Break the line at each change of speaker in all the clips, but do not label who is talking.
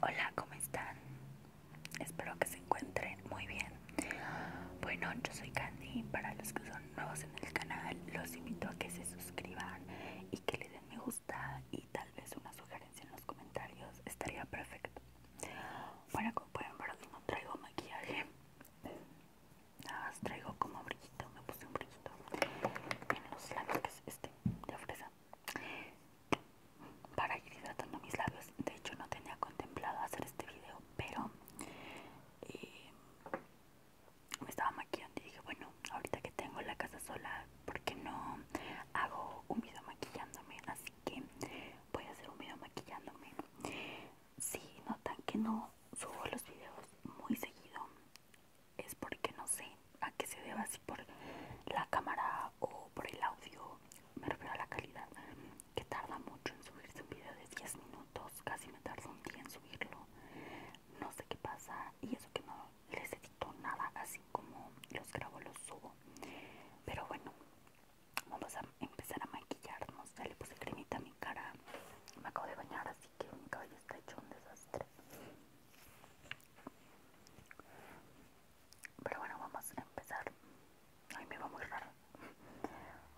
Hola, ¿cómo están? Espero que se encuentren muy bien. Bueno, yo soy Candy. Para los que son nuevos en el canal, los invito a que se suscriban y que le den me gusta y tal vez una sugerencia en los comentarios. Estaría perfecto. Bueno, como pueden ver, no traigo maquillaje. Nada más traigo como brillito. Me puse un brillito los lentes, que este, de fresa para ir hidratando mis labios. De hecho, no tenía contemplado hacer este video, pero eh, me estaba maquillando y dije, bueno, ahorita que tengo la casa sola, ¿por qué no hago un video maquillándome? Así que voy a hacer un video maquillándome. Si notan que no subo los videos muy seguido, es porque no sé, a que se deba, así por la cámara o por el audio, me refiero a la calidad, que tarda mucho en subirse un video de 10 minutos, casi me tarda un día en subirlo, no sé qué pasa y eso que no les edito nada, así como los grabo, los subo, pero bueno, vamos a empezar a maquillarnos, ya le puse cremita a mi cara, me acabo de bañar, así que mi cabello está hecho un desastre. Pero bueno, vamos a empezar. Ay, me va muy raro.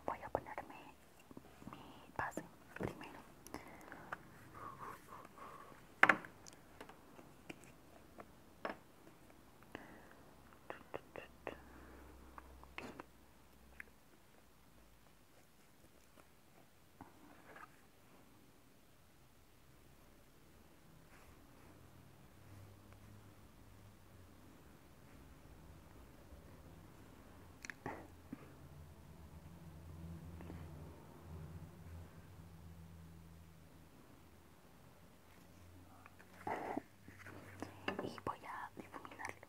Voy a ponerme mi base primero. y voy a difuminarlo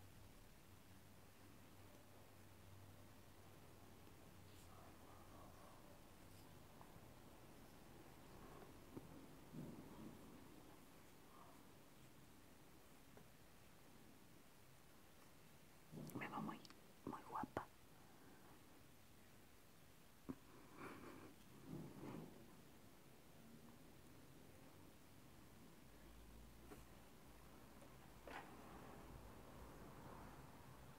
me va muy, muy guapa.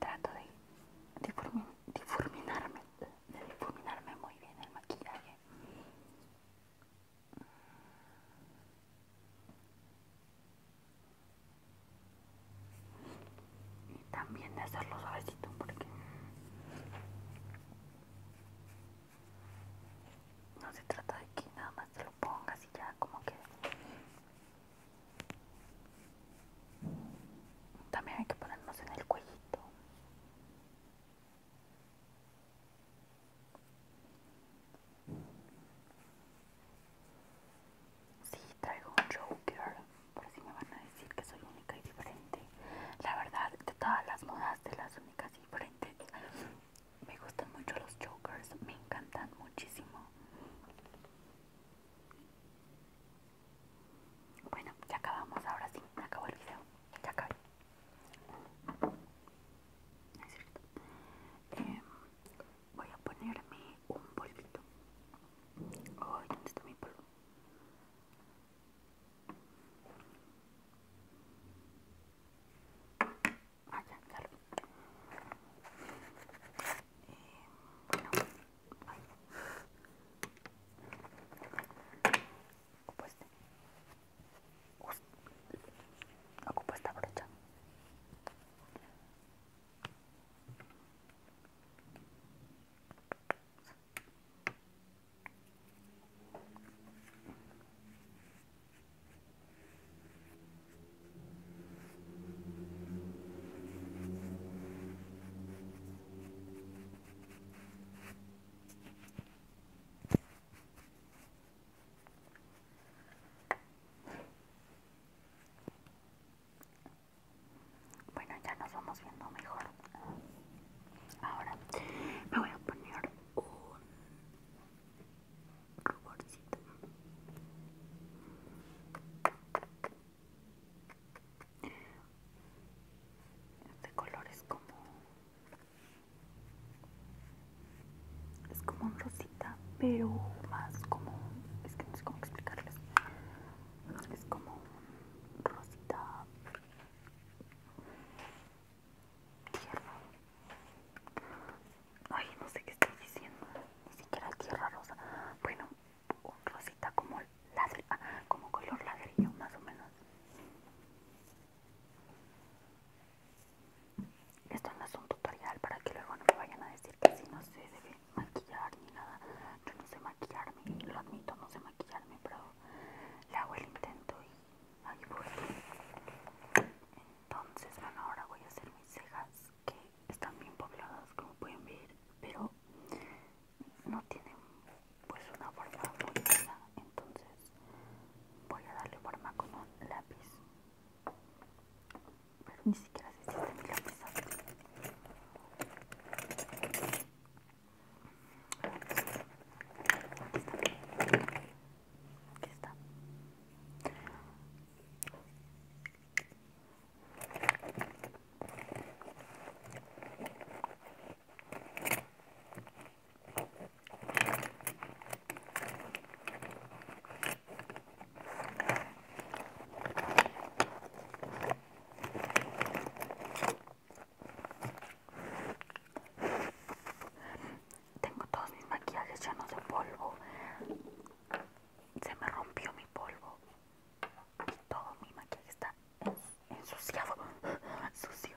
Trato de difuminarme, de difuminarme muy bien el maquillaje. Y también de hacerlo suavecito porque no se trata de que nada más te lo pongas y ya como que... También hay que ponernos en el cuellito. Sí, traigo un Joker, por si me van a decir que soy única y diferente. La verdad, de todas las modas, de las únicas y diferentes, me gustan mucho los jokers, me encantan muchísimo. Bueno, ya acabamos, ahora sí, me acabó el video. Ya acabé. Es cierto. Em, voy a ponerme un polvito. Ay, ¿dónde está mi polvo? allá, claro. Eh, bueno, ay. Ocupo, brocha. Bueno, ya nos vamos viendo mejor. Ahora me voy a poner un ruborcito este color es como es como un rosita pero más como es que no sé cómo explicarles es como un rosita Tierra. Ay, no sé qué estoy diciendo. Ni siquiera tierra rosa. Bueno, rosita como ladrillo, ah, como color ladrillo, más o menos. Esto no es un tutorial para que luego no me vayan a decir que si no se debe maquillar ni nada. Yo no sé maquillarme, lo admito, no sé maquillarme, pero le hago el intento y Aquí por Entonces, bueno, ahora voy a hacer mis cejas que están bien pobladas, como pueden ver, pero no tienen pues una forma muy Entonces, voy a darle forma con un lápiz. Pero ni siquiera se siente mi lápiz. Aquí está. Aquí está. Tengo todos mis maquillajes llenos de polvo. Se me rompió mi polvo. Y todo mi maquillaje está ensuciado. Sucio.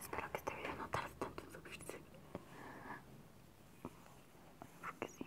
Espero que este video no haga tanto en subirse. Porque sí.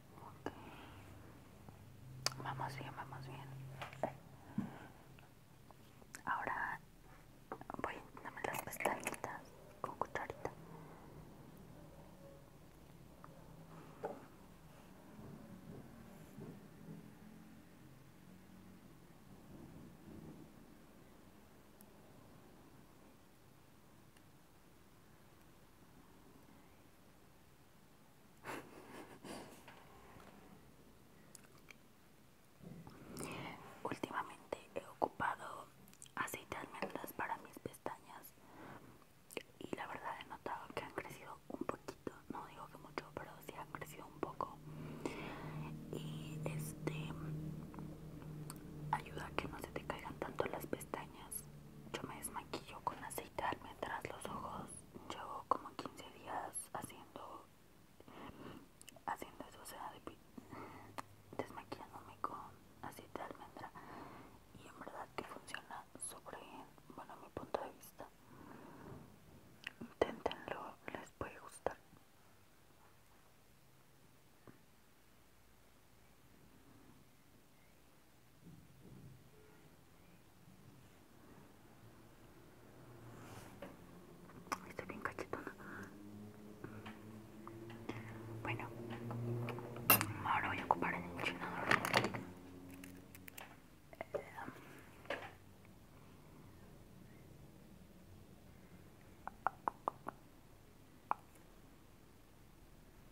Vamos bien, vamos bien. Ahora voy a darme las pestañitas con cucharita. Últimamente he ocupado aceite de para mis pestañas y la verdad he notado que han crecido un poquito, no digo que mucho, pero sí han crecido un poco y este ayuda a que no se te caigan tanto las pestañas. Yo me desmaquillo con aceite de almendras los ojos llevo como 15 días haciendo haciendo eso, o sea, de, desmaquillándome con aceite de almendra y en verdad que funciona súper bien, bueno, mi punto de vista. intentenlo, les puede gustar. Estoy bien cachetona. Bueno, ahora voy a ocupar el enchinador. Eh,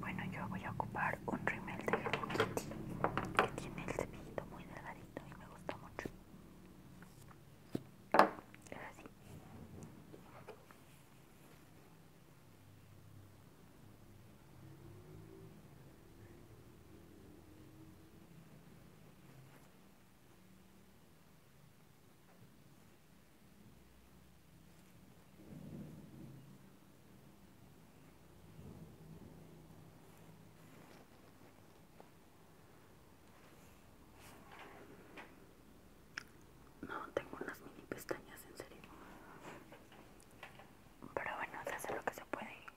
Bueno, yo voy a ocupar un rimel de Hello que tiene el cepillito muy delgadito y me gusta mucho. Es así. No, tengo unas mini pestañas en serio. Pero bueno, se hace lo que se puede.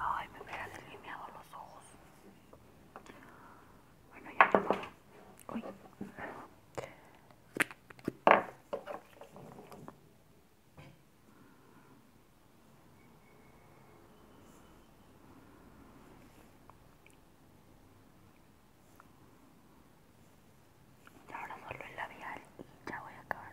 Ay, me hubiera delineado los ojos. Bueno, ya no. Uy. Y ahora solo el labial y ya voy a acabar.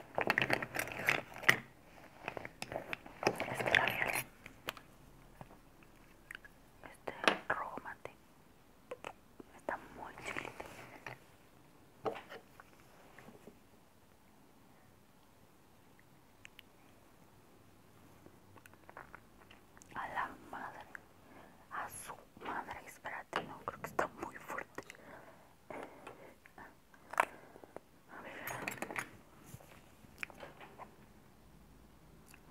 este labial este rojo mate está muy chiquito a la madre a su madre espera, no creo que está muy fuerte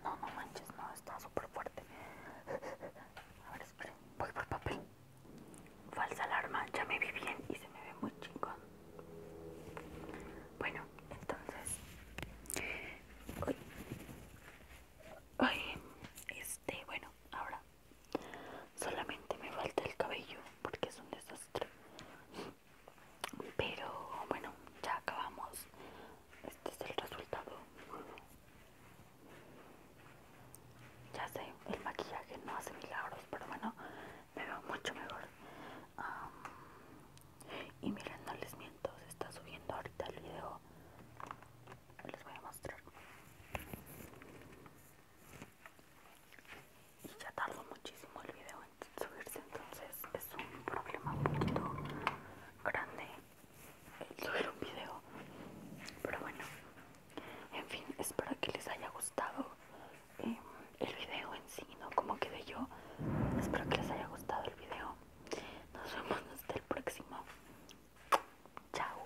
no, no manches, no, está súper fuerte. A ver, esperen, voy por papel. Falsa alarma, ya me vi bien y se me ve muy chingón. Bueno, entonces. Uy. Ay, este, bueno, ahora Solamente me falta el cabello porque es un desastre. Pero bueno, ya acabamos. Este es el resultado. Ya sé, el maquillaje no hace milagros, pero bueno, me veo mucho mejor. y miren, no les miento, se está subiendo ahorita el video. Les voy a mostrar y ya tardó muchísimo el video en subirse entonces es un problema muy grande el subir un video pero bueno en fin espero que les haya gustado eh, el video en sí no como quedé yo espero que les haya gustado el video nos vemos hasta el próximo chao